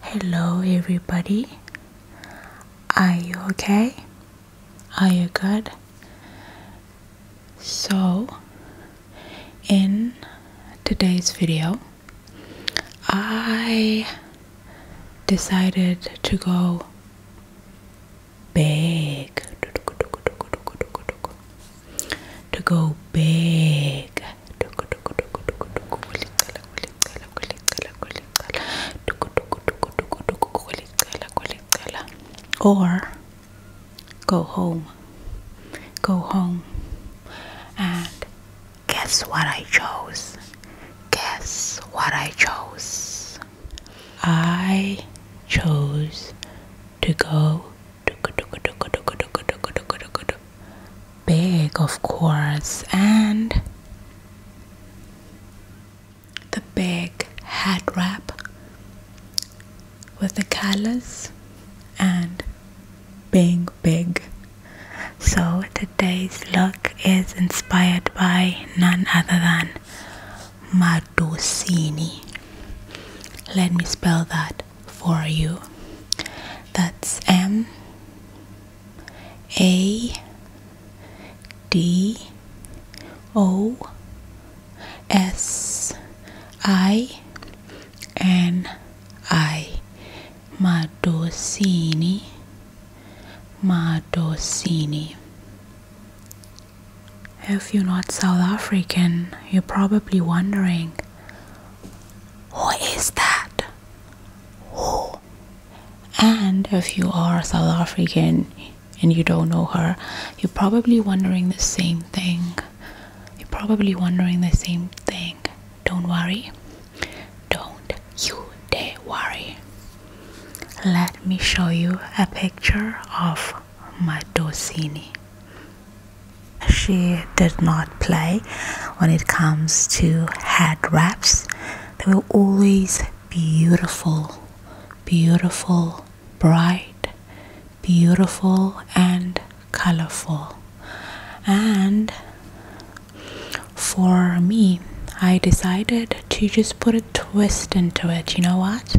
Hello, everybody. Are you okay? Are you good? So, in today's video, I decided to go bake to go big. Or go home. Go home. And guess what I chose? Guess what I chose? I chose to go Big, of course, and the big hat wrap with the colors, and being big. So today's look is inspired by none other than Madusini. Let me spell that for you. That's M A D O S I N I Madosini Madosini. If you're not South African, you're probably wondering who is that? Who? And if you are South African and you don't know her, you're probably wondering the same thing. You're probably wondering the same thing. Don't worry. Don't you dare worry. Let me show you a picture of Madosini she did not play when it comes to head wraps. They were always beautiful, beautiful, bright, beautiful, and colorful. And for me, I decided to just put a twist into it. You know what?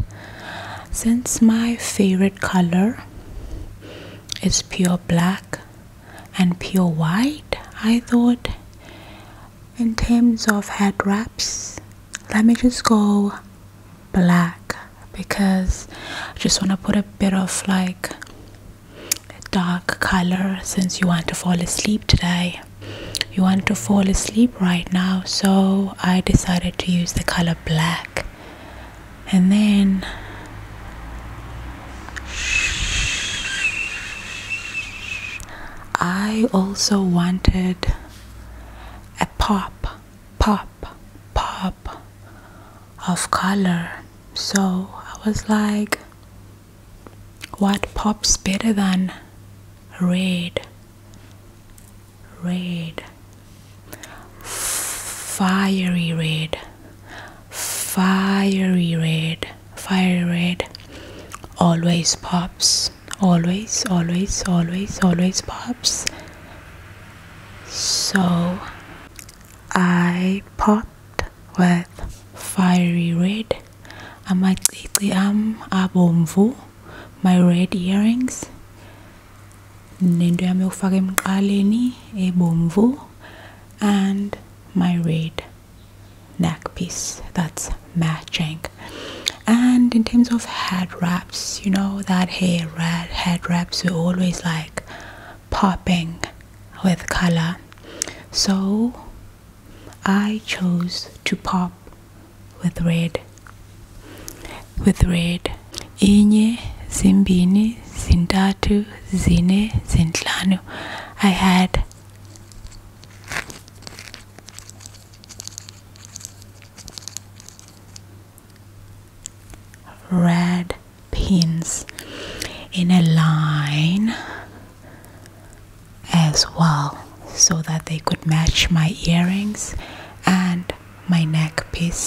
Since my favorite color it's pure black and pure white, I thought. In terms of head wraps, let me just go black because I just want to put a bit of like dark color since you want to fall asleep today. You want to fall asleep right now, so I decided to use the color black and then I also wanted a pop, pop, pop of color. So I was like, what pops better than red? Red, fiery red fiery red fiery red always pops always always always always pops so i popped with fiery red i am i am abomvu my red earrings nento yam yokufaka emqaleni ebomvu and my red neckpiece. that's matching and in terms of head wraps you know that hair red head wraps are always like popping with color so i chose to pop with red with red inye zimbini zintathu zine zintlanu i had red pins in a line as well so that they could match my earrings and my neckpiece.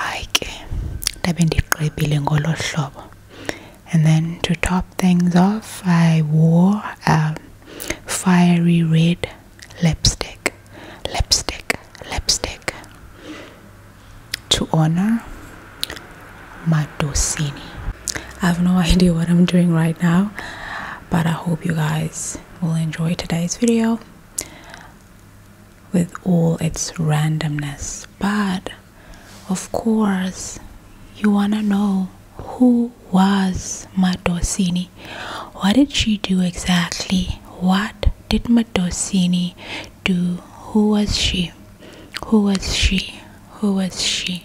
hayi ke ndabe ndigqibile ngolo hlobo and then to top things off i wore a fiery red lipstick lipstick lipstick to honor madosini i have no idea what i'm doing right now but i hope you guys will enjoy today's video with all its randomness. But of course, you want to know who was Matosini? What did she do exactly? What did Matosini do? Who was she? Who was she? Who was she?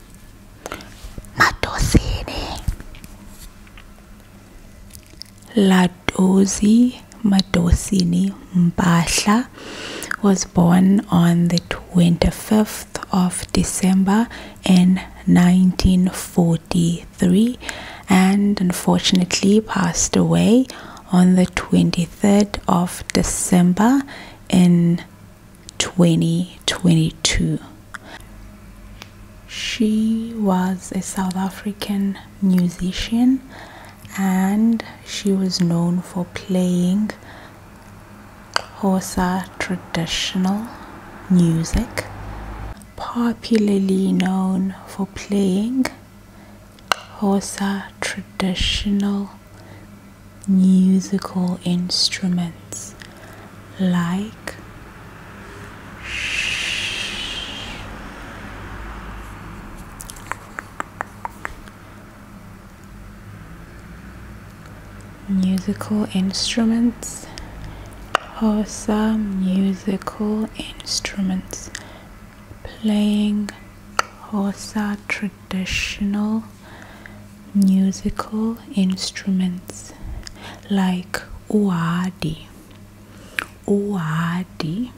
Matosini Ladozi Matosini Mbahla was born on the 25th of December in 1943 and unfortunately passed away on the 23rd of December in 2022. She was a South African musician and she was known for playing Xhosa traditional music, popularly known for playing Xhosa traditional musical instruments like musical instruments or some musical instruments playing Hosa tradition traditional musical instruments like uadi, uadi,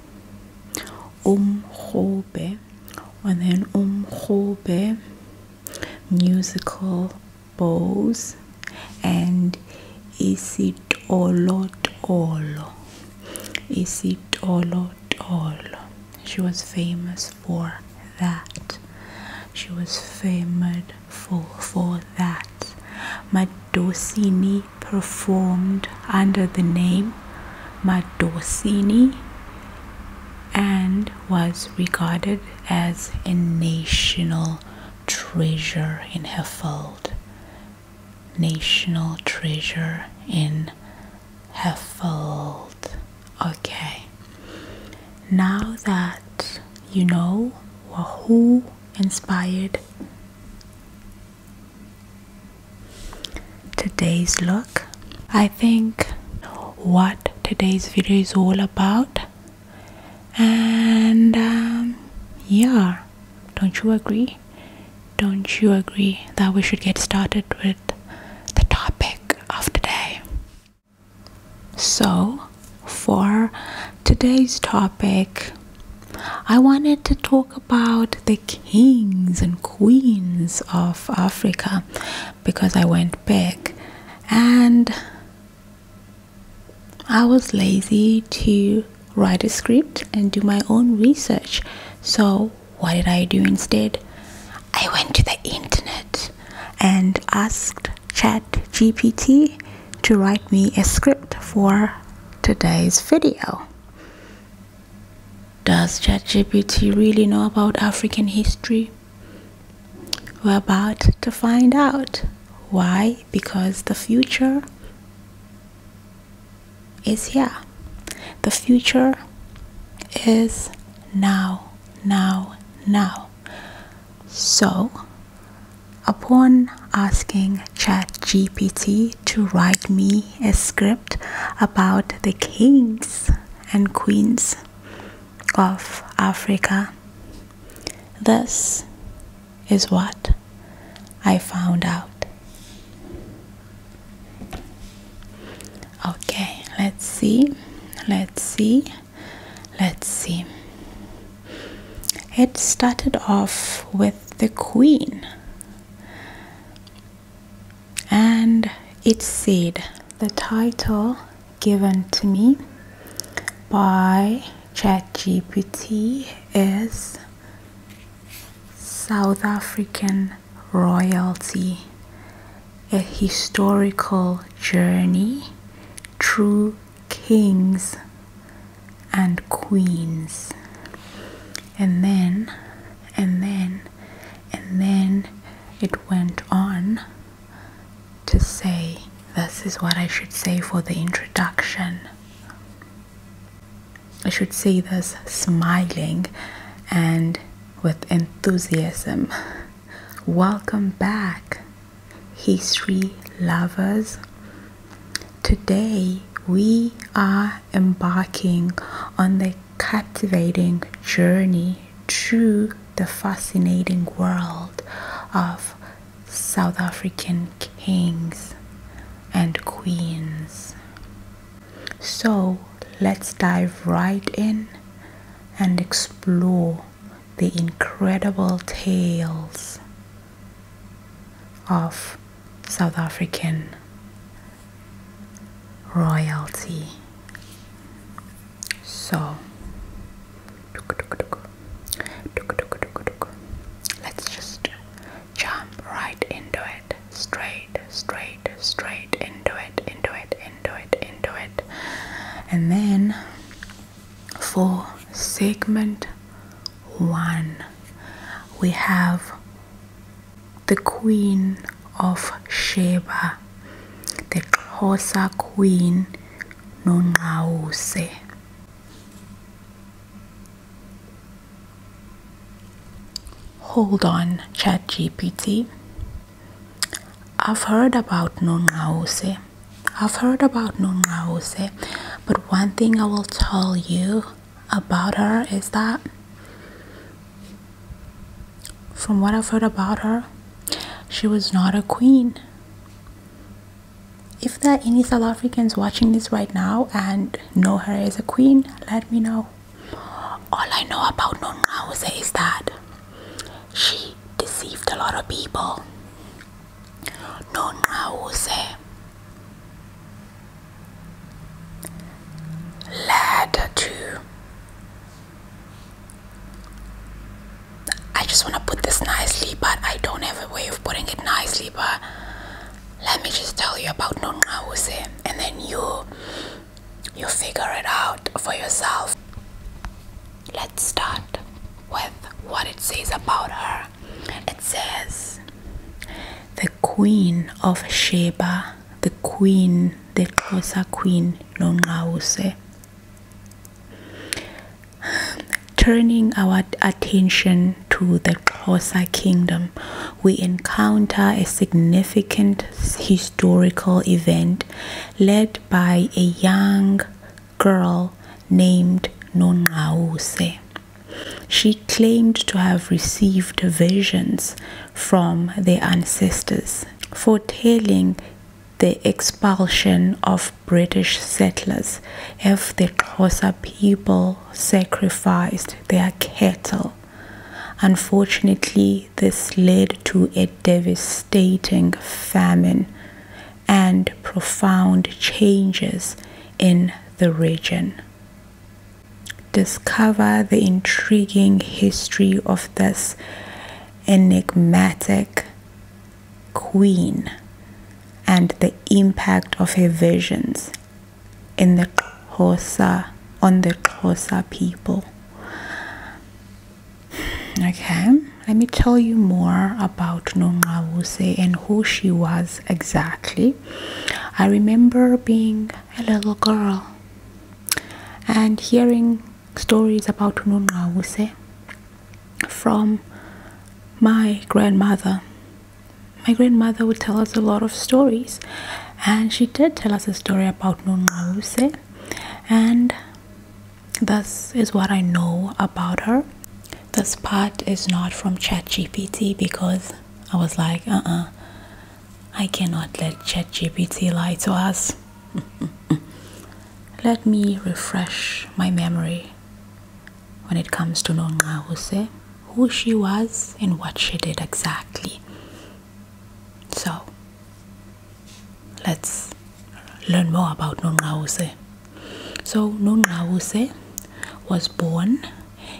umhobe, and then umhobe musical bows and isitolotolo, isitolotolo. She was famous for that. She was famed for, for that. Madosini performed under the name Madosini and was regarded as a national treasure in her National treasure in her Okay, now that you know who inspired today's look, I think what today's video is all about. And um, yeah, don't you agree? Don't you agree that we should get started with the topic of today? So, for today's topic, I wanted to talk about the kings and queens of Africa because I went back and I was lazy to write a script and do my own research. So, what did I do instead? I went to the internet and asked Chat GPT to write me a script for today's video. Does Chat GPT really know about African history? We're about to find out. Why? Because the future is here. The future is now, now, now. So, upon asking ChatGPT to write me a script about the kings and queens of Africa, this is what I found out. Okay, let's see. Let's see. Let's see. It started off with the Queen, and it said, The title given to me by ChatGPT is South African Royalty a historical journey through kings and queens and then and then and then it went on to say this is what I should say for the introduction I should say this smiling and with enthusiasm Welcome back, history lovers. Today we are embarking on the captivating journey through the fascinating world of South African kings and queens. So let's dive right in and explore the incredible tales of South African royalty. So, let's just jump right into it. Straight, straight, straight into it into it, into it, into it. And then for segment one, we have the Queen of Sheba, the Xhosa Queen Nongqawuse. Hold on, ChatGPT. I've heard about Nonghause. I've heard about Nonghause, but one thing I will tell you about her is that from what I've heard about her, she was not a queen. If there are any South Africans watching this right now and know her as a queen, let me know. All I know about Nonghause is that she deceived a lot of people. Nona Jose led to. I just want to put this nicely, but I don't have a way of putting it nicely. But let me just tell you about Nona Jose, and then you you figure it out for yourself. Let's start with what it says about her. It says, The Queen of Sheba, the Queen, the Xhosa Queen Lonqawuse. Turning our attention to the Xhosa kingdom, we encounter a significant his historical event led by a young girl named Nongaose. She claimed to have received visions from their ancestors foretelling the expulsion of British settlers if the Xhosa people sacrificed their cattle. Unfortunately, this led to a devastating devastating famine and profound changes in the region. Discover the intriguing history of this enigmatic queen and the impact of her visions in the Xhosa on the Xhosa people. Okay, let me tell you more about Nongawuse and who she was exactly. I remember being a little girl and hearing stories about Nongawuse from my grandmother. My grandmother would tell us a lot of stories, and she did tell us a story about Nongawuse, and this is what I know about her. This part is not from ChatGPT because I was like, uh uh, I cannot let ChatGPT lie to us. let me refresh my memory when it comes to Nonga Huse, who she was and what she did exactly. So let's learn more about Nonrawuse. So Nonrawuse was born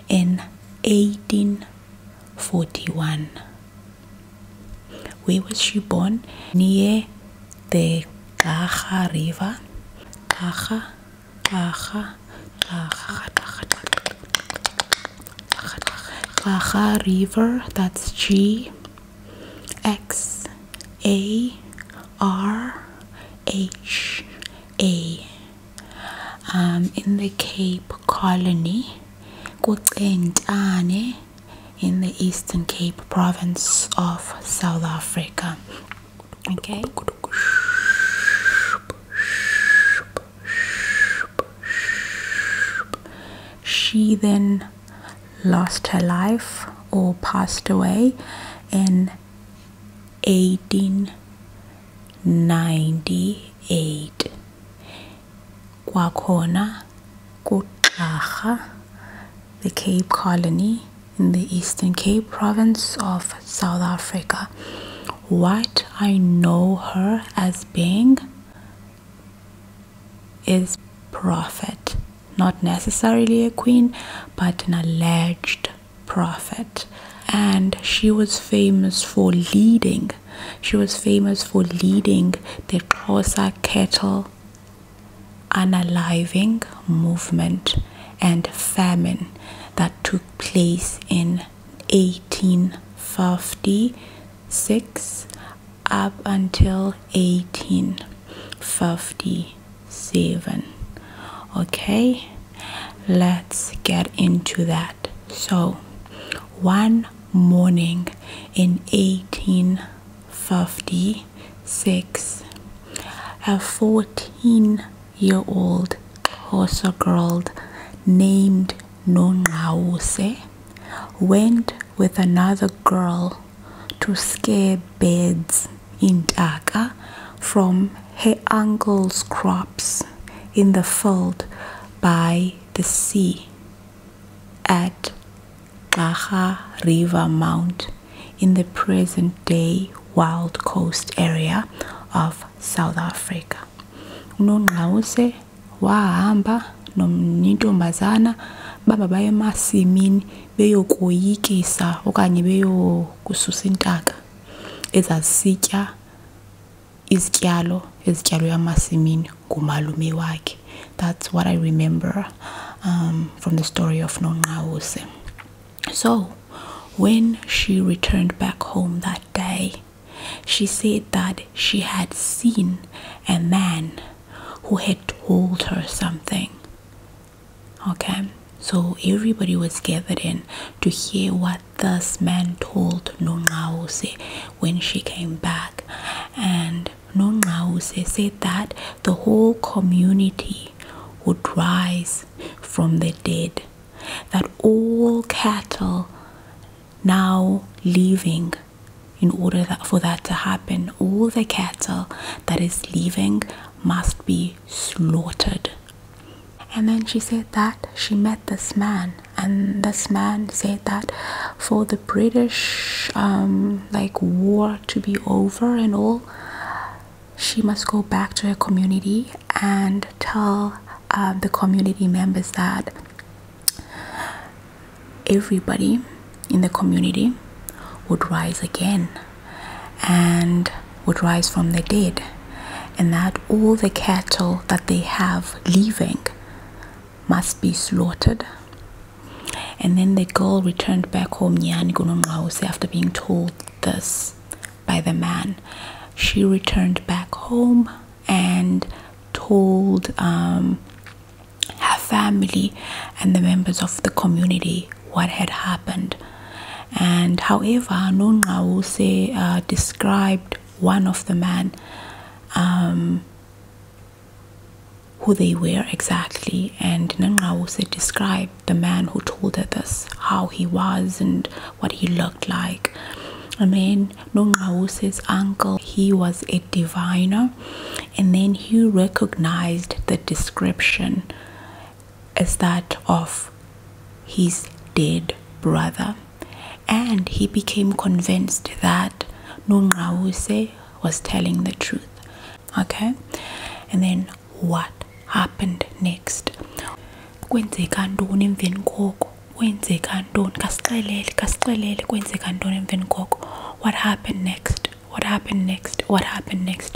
in 1841. Where was she born? Near the Gaga River. Gaga, Gaga, Gaga, Gaga. Gaga River, that's G X A R H A. Um, in the Cape Colony, Kutsentane, in the Eastern Cape province of South Africa. Okay she then lost her life or passed away in 1898 kwakhona kuqarha the cape colony in the eastern cape province of south africa what i know her as being is prophet. Not necessarily a queen, but an alleged prophet. And she was famous for leading. She was famous for leading the Xhosa cattle unaliving movement and famine that took place in 1856 up until 1857 okay let's get into that so one morning in 1856 a 14 year old Hossa girl named Nonrawuse went with another girl to scare birds in Daka, from her uncle's crops in the field by the sea at Gaha River Mount in the present day Wild Coast area of South Africa. Unongqawuse wahamba nomntombazana baba baye emasimini beyokoyikisa okanye beyokususa intaka ezazisitya izityalo ezityalwe emasimini ngumalume wakhe that's what i remember um, from the story of nonqawuse so when she returned back home that day she said that she had seen a man who had told her something. Okay, so everybody was gathered in to hear what this man told Nongaose when she came back, and Nongaose said that the whole community would rise from the dead, that all cattle now leaving in order that for that to happen all the cattle that is leaving must be slaughtered and then she said that she met this man and this man said that for the british um, like war to be over and all she must go back to her community and tell uh, the community members that everybody in the community would rise again and would rise from the dead, and that all the cattle that they have leaving must be slaughtered. And then the girl returned back home, after being told this by the man. She returned back home and told um, her family and the members of the community what had happened and however Nonrawuse uh, described one of the men um, who they were exactly and Nonrawuse described the man who told her this how he was and what he looked like I mean Nonrawuse's uncle he was a diviner and then he recognized the description as that of his dead brother and he became convinced that Nungause was telling the truth okay and then what happened next kwenzeka ntoni kasixelele kasixelele kwenzeka ntoni emveni koko what happened next what happened next what happened next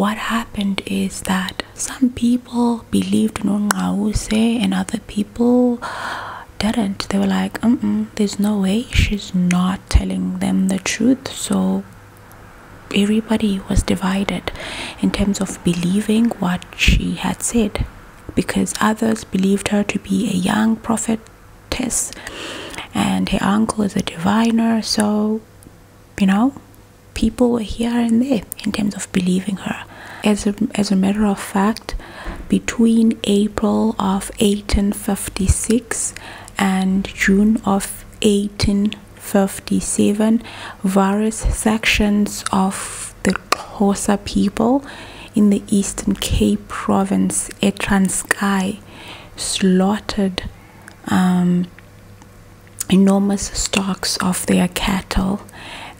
what happened is that some people believed nonqawuse and other people didn't they were like there's no way she's not telling them the truth so everybody was divided in terms of believing what she had said because others believed her to be a young prophet tests and her uncle is a diviner so you know people were here and there in terms of believing her as a, as a matter of fact between april of 1856 and june of 1857 various sections of the Xhosa people in the Eastern Cape province at Transkei slaughtered um, enormous stocks of their cattle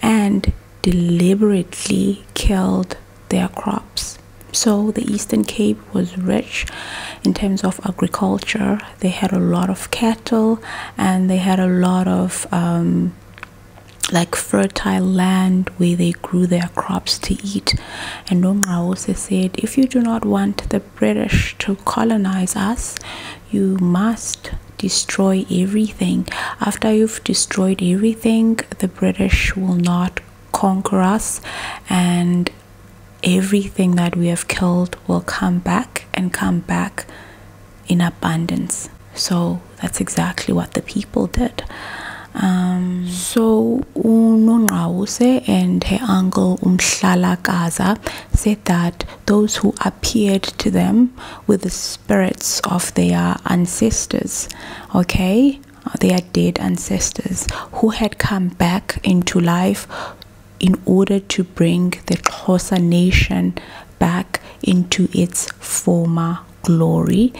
and deliberately killed their crops. So the Eastern Cape was rich in terms of agriculture. They had a lot of cattle and they had a lot of um, like fertile land where they grew their crops to eat. And Omar also said, If you do not want the British to colonize us, you must destroy everything. After you've destroyed everything, the British will not conquer us, and everything that we have killed will come back and come back in abundance. So that's exactly what the people did. Um, so Unonrawuse and her uncle Umshala Gaza said that those who appeared to them were the spirits of their ancestors, okay, their dead ancestors who had come back into life in order to bring the Xhosa nation back into its former glory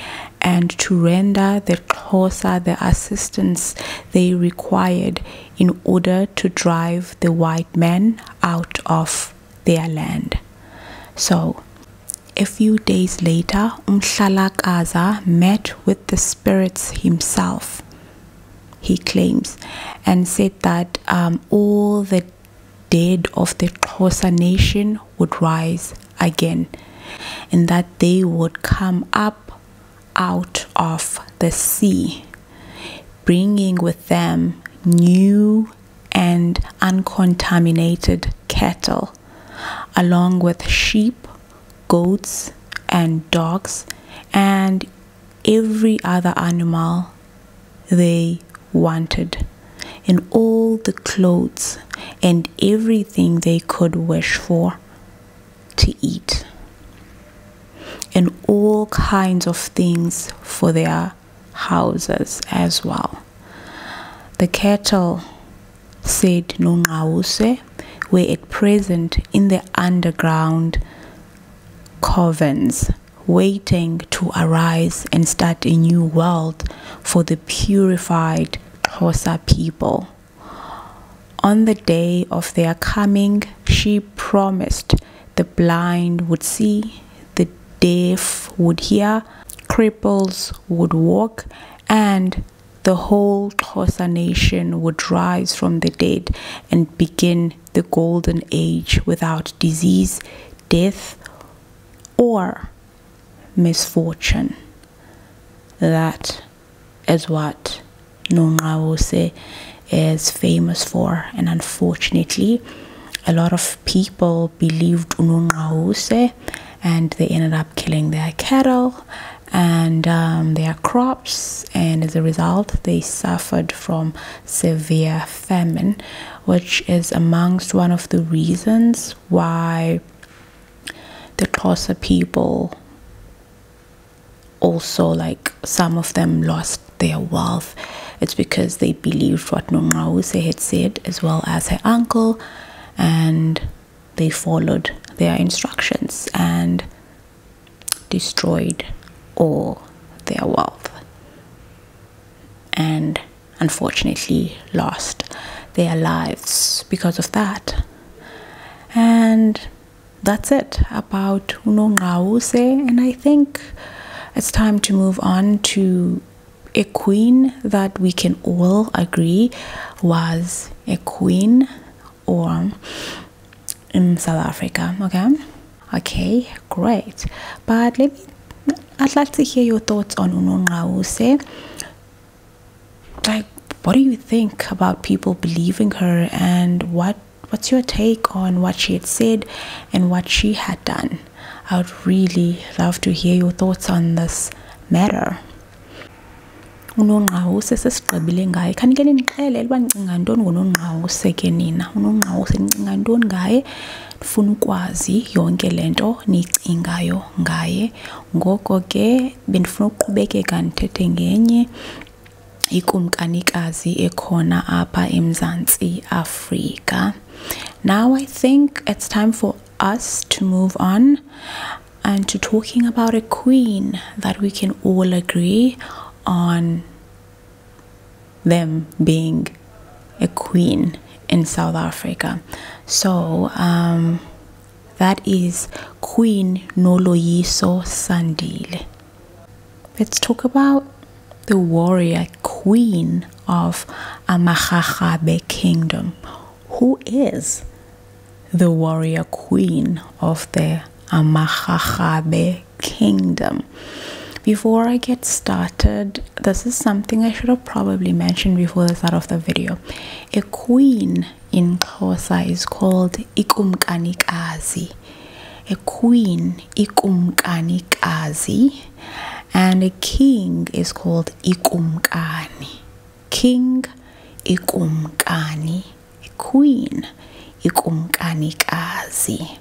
and to render the Kosa the assistance they required in order to drive the white men out of their land. So, a few days later, Umshalakaza met with the spirits himself, he claims, and said that um, all the dead of the Kosa nation would rise again and that they would come up out of the sea, bringing with them new and uncontaminated cattle, along with sheep, goats, and dogs, and every other animal they wanted and all the clothes and everything they could wish for to eat, and all kinds of things for their houses as well. The cattle said Nungause were at present in the underground caverns, waiting to arise and start a new world for the purified Hosa people. On the day of their coming, she promised the blind would see, the deaf would hear, cripples would walk, and the whole Hosa nation would rise from the dead and begin the golden age without disease, death, or misfortune. That is what Nongawuse is famous for, and unfortunately, a lot of people believed Nongawuse and they ended up killing their cattle and um, their crops, and as a result, they suffered from severe famine, which is amongst one of the reasons why the Xhosa people also like some of them lost their wealth. It's because they believed what Nongause had said as well as her uncle and they followed their instructions and destroyed all their wealth. And unfortunately lost their lives because of that. And that's it about Unongause. And I think it's time to move on to a queen that we can all agree was a queen or in South Africa. Okay. Okay, great. But let me I'd like to hear your thoughts on Unongause like what do you think about people believing her and what what's your take on what she had said and what she had done i would really love to hear your thoughts on this matter unongqawuse sesigqibile ngaye khani ke nindixelele uba ndicinga ntoni ngonongqawuse ke nina unongqawuse nicinga ntoni ngaye ndifuna ukwazi yonke le nto niyicingayo ngaye ngoko ke bendifuna ukuqhubekeka ndithethe ngenye ikumkanikazi ekhona apha emzantsi afrika now i think it's time for us to move on and to talking about a queen that we can all agree on them being a queen in South Africa. So um, that is Queen Noloyiso Sandile. Let's talk about the warrior queen of Amakhakhabe Kingdom. Who is the warrior queen of the Amakhakhabe Kingdom? Before I get started, this is something I should have probably mentioned before the start of the video. A queen in Xhosa is called Kazi. A queen Kazi, and a king is called ikumkani. King ikumkani. A queen Kazi.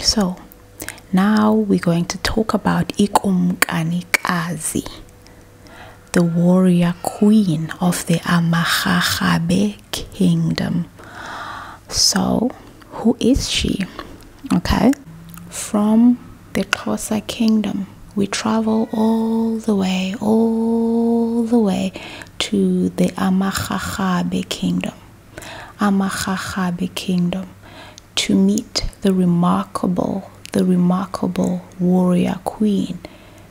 So now we're going to talk about Kazi the warrior queen of the Amahahabe kingdom. So, who is she? Okay, from the Xhosa kingdom, we travel all the way, all the way to the Amahahabe kingdom. Amahahabe kingdom to meet the remarkable, the remarkable warrior queen,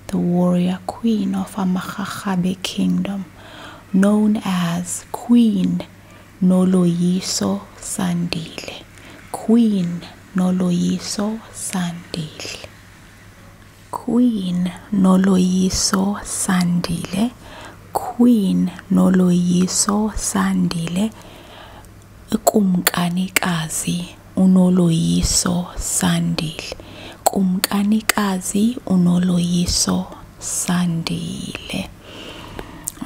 the warrior queen of Amahahabe kingdom, known as Queen Noloyiso Sandile. Queen Noloyiso Sandile. Queen Noloyiso Sandile. Queen Noloyiso Sandile Kumkanikazi uNoloyiso Sandile Kumkanikazi uNoloyiso Sandile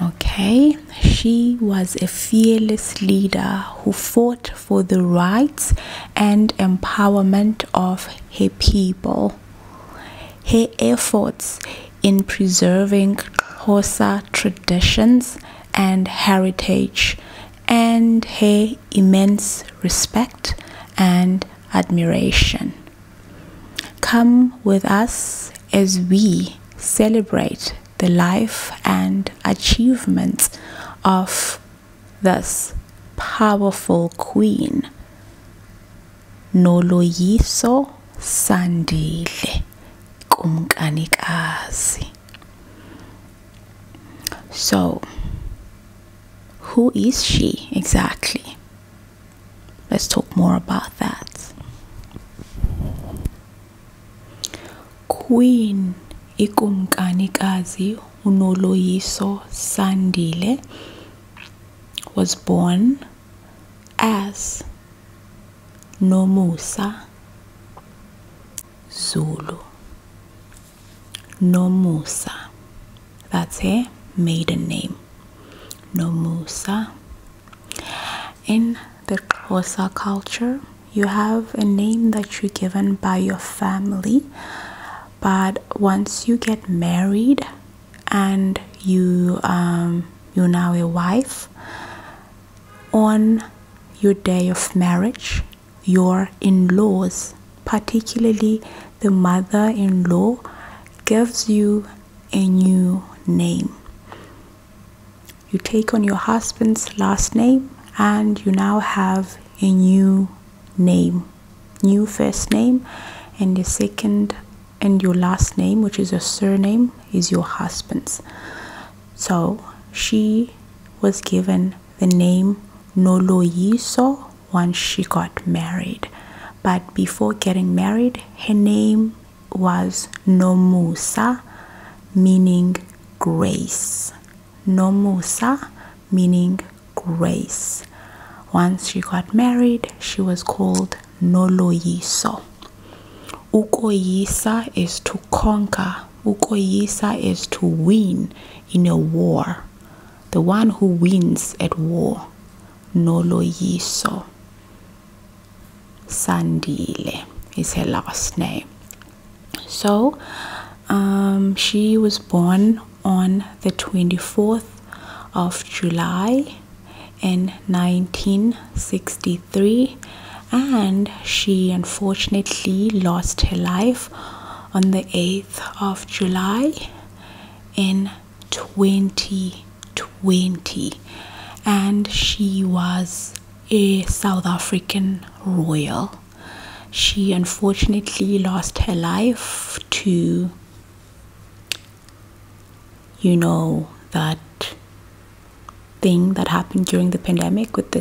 Okay, she was a fearless leader who fought for the rights and empowerment of her people. Her efforts in preserving Xhosa traditions and heritage and her immense respect and admiration. Come with us as we celebrate the life and achievements of this powerful queen, Noloyiso Sandile kumkanikazi. So, who is she exactly? Let's talk more about that. Queen Ikumkanikazi Unoloyiso Sandile was born as nomusa Zulu Nomusa that's her maiden name Nomusa in the Xhosa culture you have a name that you're given by your family but once you get married and you um, you're now a wife on your day of marriage, your in laws, particularly the mother in law, gives you a new name. You take on your husband's last name, and you now have a new name, new first name, and your second and your last name, which is your surname, is your husband's. So she was given the name Noloyiso once she got married. But before getting married, her name was Nomusa, meaning grace. Nomusa, meaning grace. Once she got married, she was called Noloyiso. Ukoyisa is to conquer. Ukoyisa is to win in a war. The one who wins at war. Noloyiso. Sandile is her last name. So um, she was born on the 24th of July in 1967 1983 and she unfortunately lost her life on the 8th of July in 2020 and she was a South African royal. She unfortunately lost her life to you know that thing that happened during the pandemic with the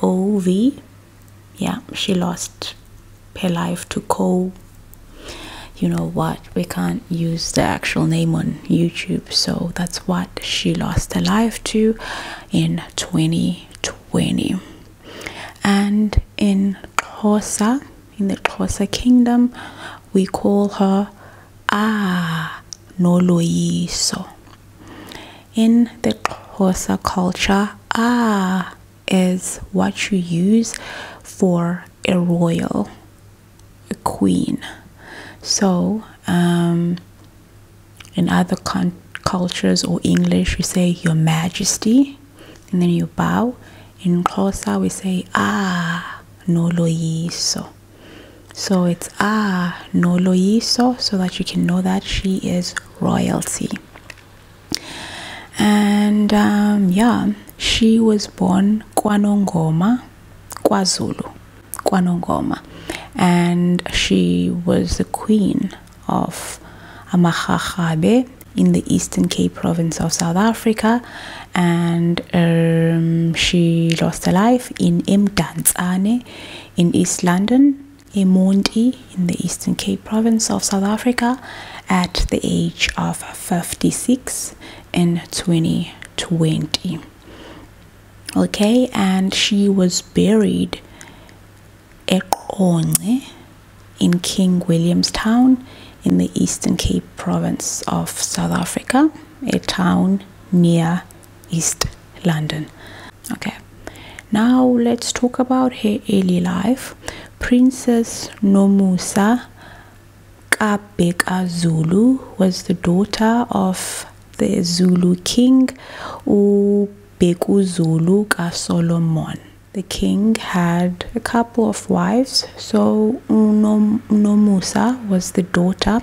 COVID. Yeah, she lost her life to Co. You know what? We can't use the actual name on YouTube, so that's what she lost her life to in 2020. And in Corsa, in the Corsa kingdom, we call her ah noloyiso. In the Xhosa culture, ah is what you use for a royal a queen. So, um, in other cultures or English, we say Your Majesty, and then you bow. In Xhosa, we say ah noloyiso. So it's ah no lo so that you can know that she is royalty. And um, yeah, she was born KwaNongoma, KwaZulu, KwaNongoma, and she was the queen of Amakhabe in the Eastern Cape province of South Africa, and um, she lost her life live in Mdantsane in East London, Emundi in the Eastern Cape province of South Africa at the age of 56 in 2020. Okay, and she was buried at Onge in King Williamstown, in the Eastern Cape province of South Africa, a town near East London. Okay, now let's talk about her early life. Princess Nomusa Kabeka was the daughter of the Zulu king Ubeku Zulu Ka Solomon. The king had a couple of wives, so Nomusa was the daughter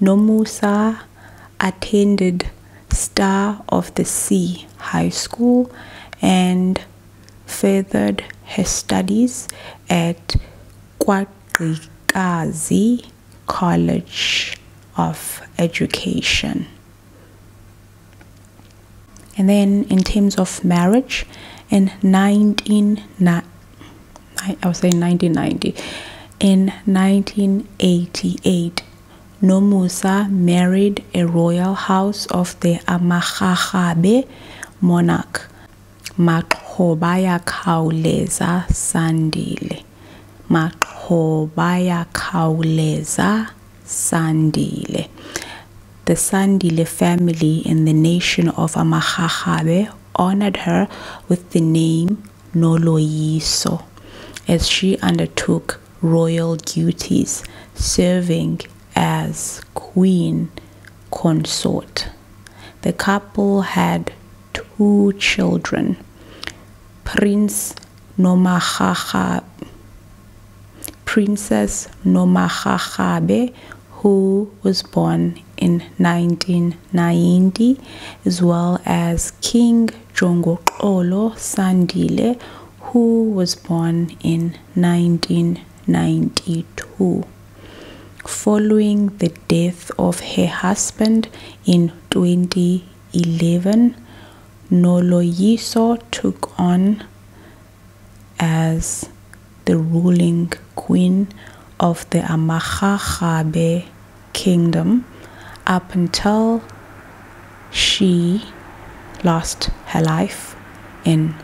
Nomusa attended Star of the Sea High School and furthered her studies at Kwaqikazi College of Education. And then in terms of marriage, in 19 I was saying 1990. In 1988, Nomusa married a royal house of the Amakhabe monarch, Maqhobaya Kauleza Sandile. Maqhobaya Kauleza Sandile. The Sandile family in the nation of Amakhabe honored her with the name Noloiso as she undertook royal duties, serving as queen consort. The couple had two children, Prince Nomahaha, Princess Nomahahabe who was born in 1990, as well as King Jongokolo Sandile, who was born in 1992. Following the death of her husband in 2011, Noloyiso took on as the ruling queen of the Amahachabe kingdom up until she lost her life in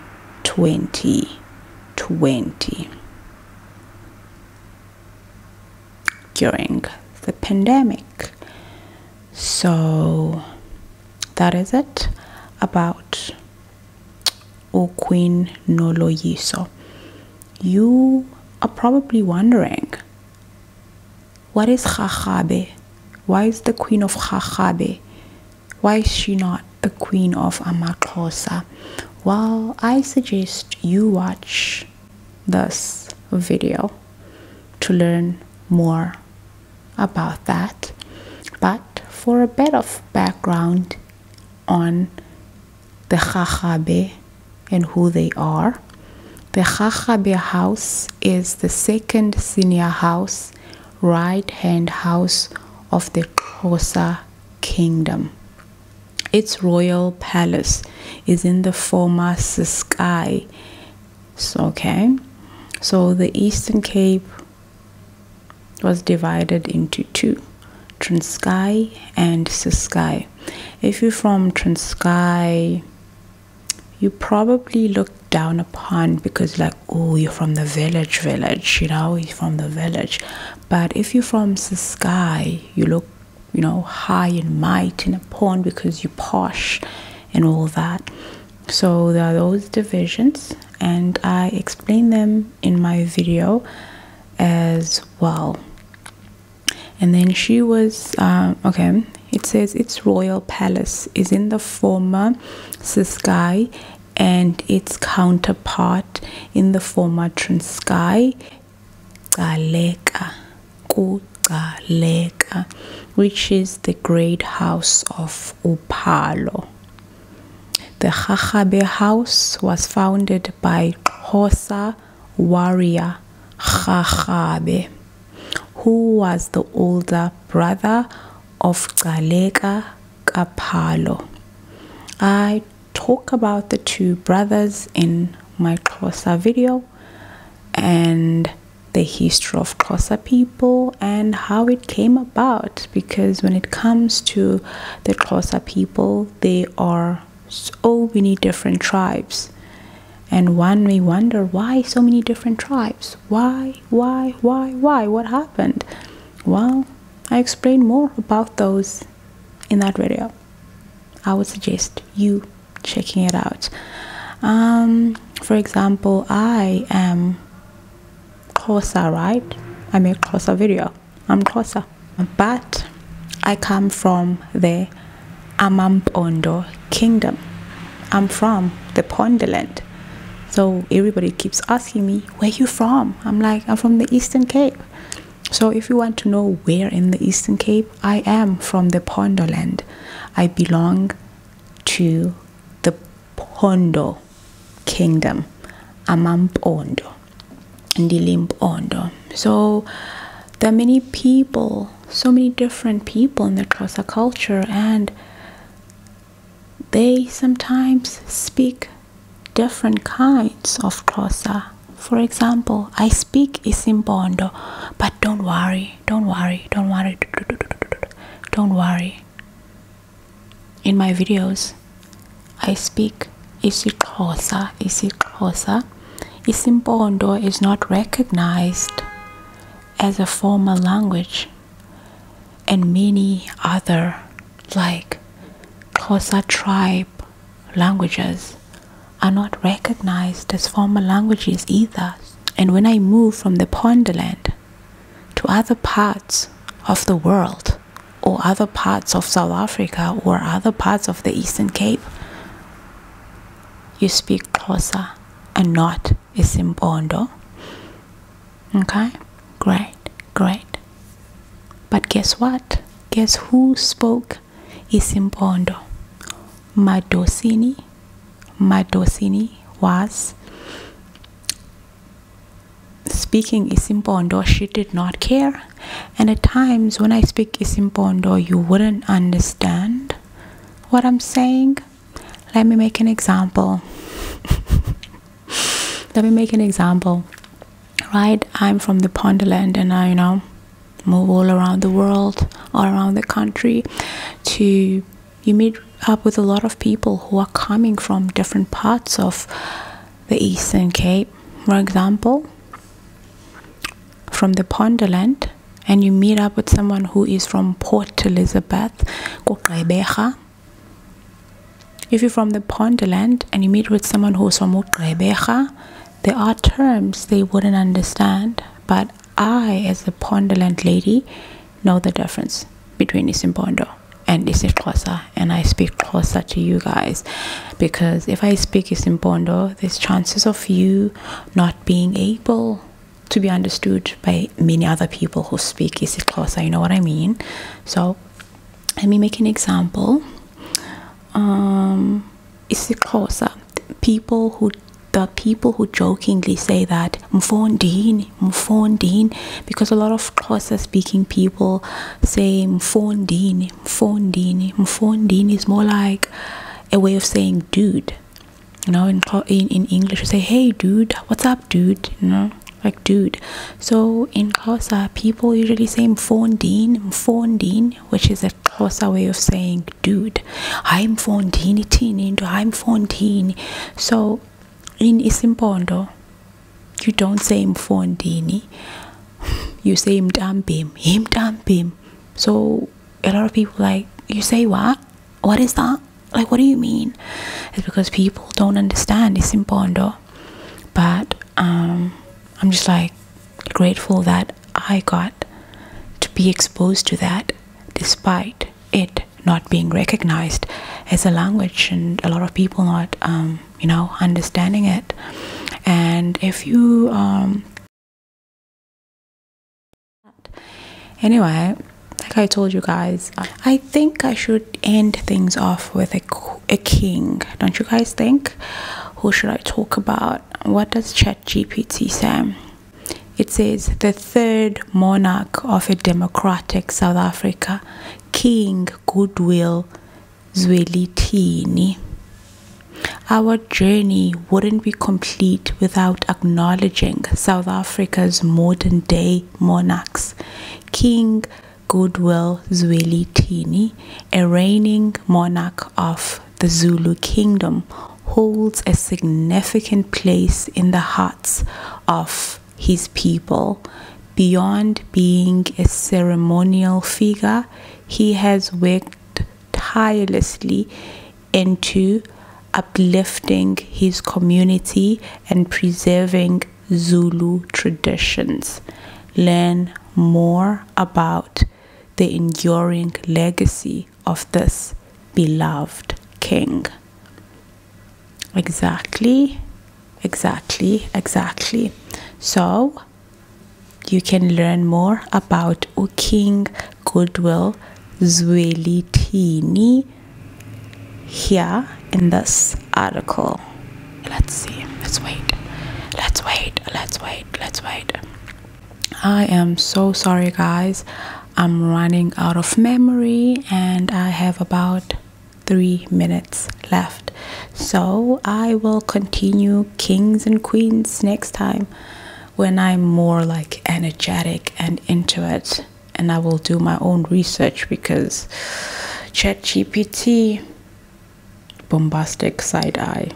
2020 during the pandemic. So that is it about or Queen Noloyiso. You are probably wondering, what is Khachabe? Why is the Queen of Khachabe? Why is she not the Queen of Amakosa? Well, I suggest you watch this video to learn more about that. But for a bit of background on the Jajabe and who they are. The Jajabe house is the second senior house, right hand house of the Kosa kingdom. Its royal palace is in the former Sky. So Okay, so the Eastern Cape was divided into two Transkei and Suskai. If you're from Transkei, you probably look down upon because, like, oh, you're from the village, village, you know, you're from the village. But if you're from Suskai, you look, you know, high and mighty and upon because you're posh and all that. So there are those divisions, and I explain them in my video as well and then she was um, okay it says its royal palace is in the former Siskai and its counterpart in the former Transkei Galeka Kugaleka which is the great house of Upalo the Khachabe house was founded by Xhosa warrior Khachabe, who was the older brother of Galeka Kapalo. I talk about the two brothers in my Xhosa video and the history of Xhosa people and how it came about because when it comes to the Kosa people, they are so many different tribes. And one may wonder why so many different tribes? Why, why, why, why? What happened? Well, I explain more about those in that video. I would suggest you checking it out. Um, for example, I am Kosa, right? I make Kosa video. I'm closer, But I come from the Amampondo kingdom. I'm from the Pondeland. So everybody keeps asking me, where you from? I'm like, I'm from the Eastern Cape. So if you want to know where in the Eastern Cape, I am from the Pondoland. I belong to the Pondo Kingdom, Limpopo and the Ndilimpondo. So there are many people, so many different people in the Xhosa culture, and they sometimes speak different kinds of Xhosa. For example, I speak Isimpondo, but don't worry, don't worry, don't worry, don't worry in my videos I speak isiXhosa isiXhosa isimpondo is not recognized as a formal language and many other like Xhosa tribe languages are not recognized as formal languages either and when I move from the Ponderland to other parts of the world or other parts of South Africa or other parts of the Eastern Cape, you speak Xhosa and not Isimpondo. Okay? Great, great. But guess what? Guess who spoke Isimpondo? Madocini. Madocini was speaking Isimpondo, she did not care. And at times when I speak Isimpondo, you wouldn't understand what I'm saying. Let me make an example. Let me make an example. Right? I'm from the Ponderland and I, you know, move all around the world, all around the country to you meet up with a lot of people who are coming from different parts of the Eastern Cape, for example, from the Ponderland, and you meet up with someone who is from Port Elizabeth, Kuqebeha. If you're from the Ponderland and you meet with someone who's from Uqebeha, there are terms they wouldn't understand, but I, as a Ponderland lady, know the difference between and Isimpondo and it's in Xhosa and I speak Xhosa to you guys because if I speak Isimpondo there's chances of you not being able to be understood by many other people who speak isiXhosa you know what I mean so let me make an example um people who the people who jokingly say that mfondini mfondini because a lot of Xhosa speaking people say "fondin," mfondini. Mfondini is more like a way of saying dude. You know, in, in, English, you say, hey, dude, what's up, dude? You know, like dude. So in Xhosa, people usually say "fondin," "fondin," which is a Xhosa way of saying dude. I'm fondini, tini, I'm fondini. So in Isimpondo, you don't say him fondini. You say him him mtambim. Mtambim. So a lot of people like you say what? What is that? Like what do you mean? It's because people don't understand. It's important. But um, I'm just like grateful that I got to be exposed to that despite it not being recognized as a language and a lot of people not um, you know understanding it and if you um anyway like i told you guys i think i should end things off with a, a king don't you guys think who should i talk about what does chat gpt say it says the third monarch of a democratic south africa king goodwill Zwelithini. Our journey wouldn't be complete without acknowledging South Africa's modern day monarchs. King Goodwill Zwelithini, a reigning monarch of the Zulu kingdom, holds a significant place in the hearts of his people. Beyond being a ceremonial figure, he has worked tirelessly into uplifting his community and preserving Zulu traditions. Learn more about the enduring legacy of this beloved king. Exactly exactly exactly so you can learn more about Uking Goodwill Zuelitini here in this article. Let's see. Let's wait. Let's wait. Let's wait. Let's wait. I am so sorry, guys. I'm running out of memory and I have about three minutes left. So I will continue kings and queens next time when I'm more like energetic and into it. And I will do my own research because ChatGPT, bombastic side eye.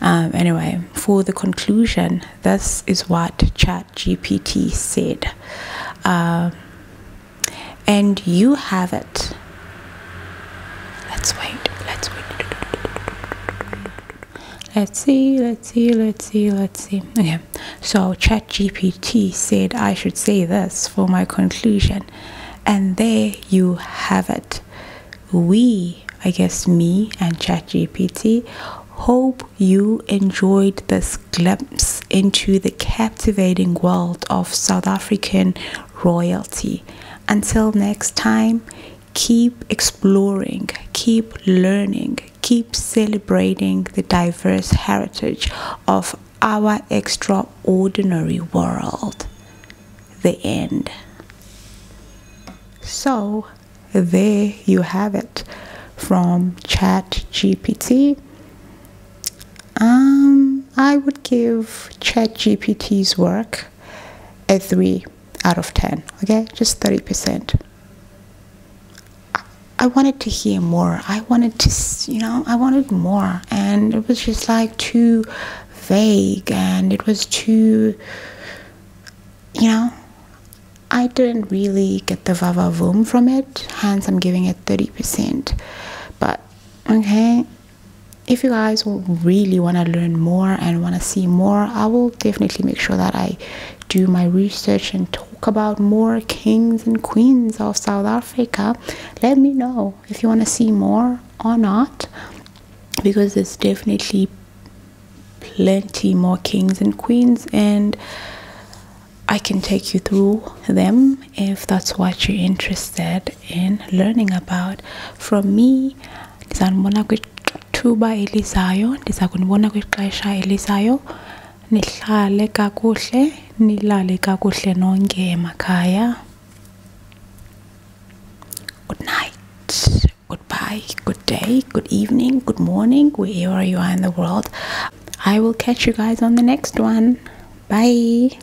Um, anyway, for the conclusion, this is what ChatGPT said. Uh, and you have it. Let's wait. Let's wait. Let's see. Let's see. Let's see. Let's see. Okay. So ChatGPT said I should say this for my conclusion. And there you have it. We, I guess me and ChatGPT, hope you enjoyed this glimpse into the captivating world of South African royalty. Until next time, keep exploring, keep learning, keep celebrating the diverse heritage of our extraordinary world. The end. So, there you have it from ChatGPT um, I would give ChatGPT's work a 3 out of 10, okay? Just 30%. I, wanted to hear more. I wanted to, you know, I wanted more. And it was just like too vague and it was too, you know, I didn't really get the vava voom from it, hence I'm giving it 30%. But okay if you guys really want to learn more and want to see more i will definitely make sure that i do my research and talk about more kings and queens of south africa let me know if you want to see more or not because there's definitely plenty more kings and queens and I can take you through them if that's what you're interested in learning about from me. Ndizanibona kwithuba elizayo, ndiza kunibona kwixesha elizayo. Nihlale kakuhle, nilale kakuhle nonke emakhaya. Good night, goodbye, good day, good evening, good morning, wherever you are in the world. I will catch you guys on the next one. Bye.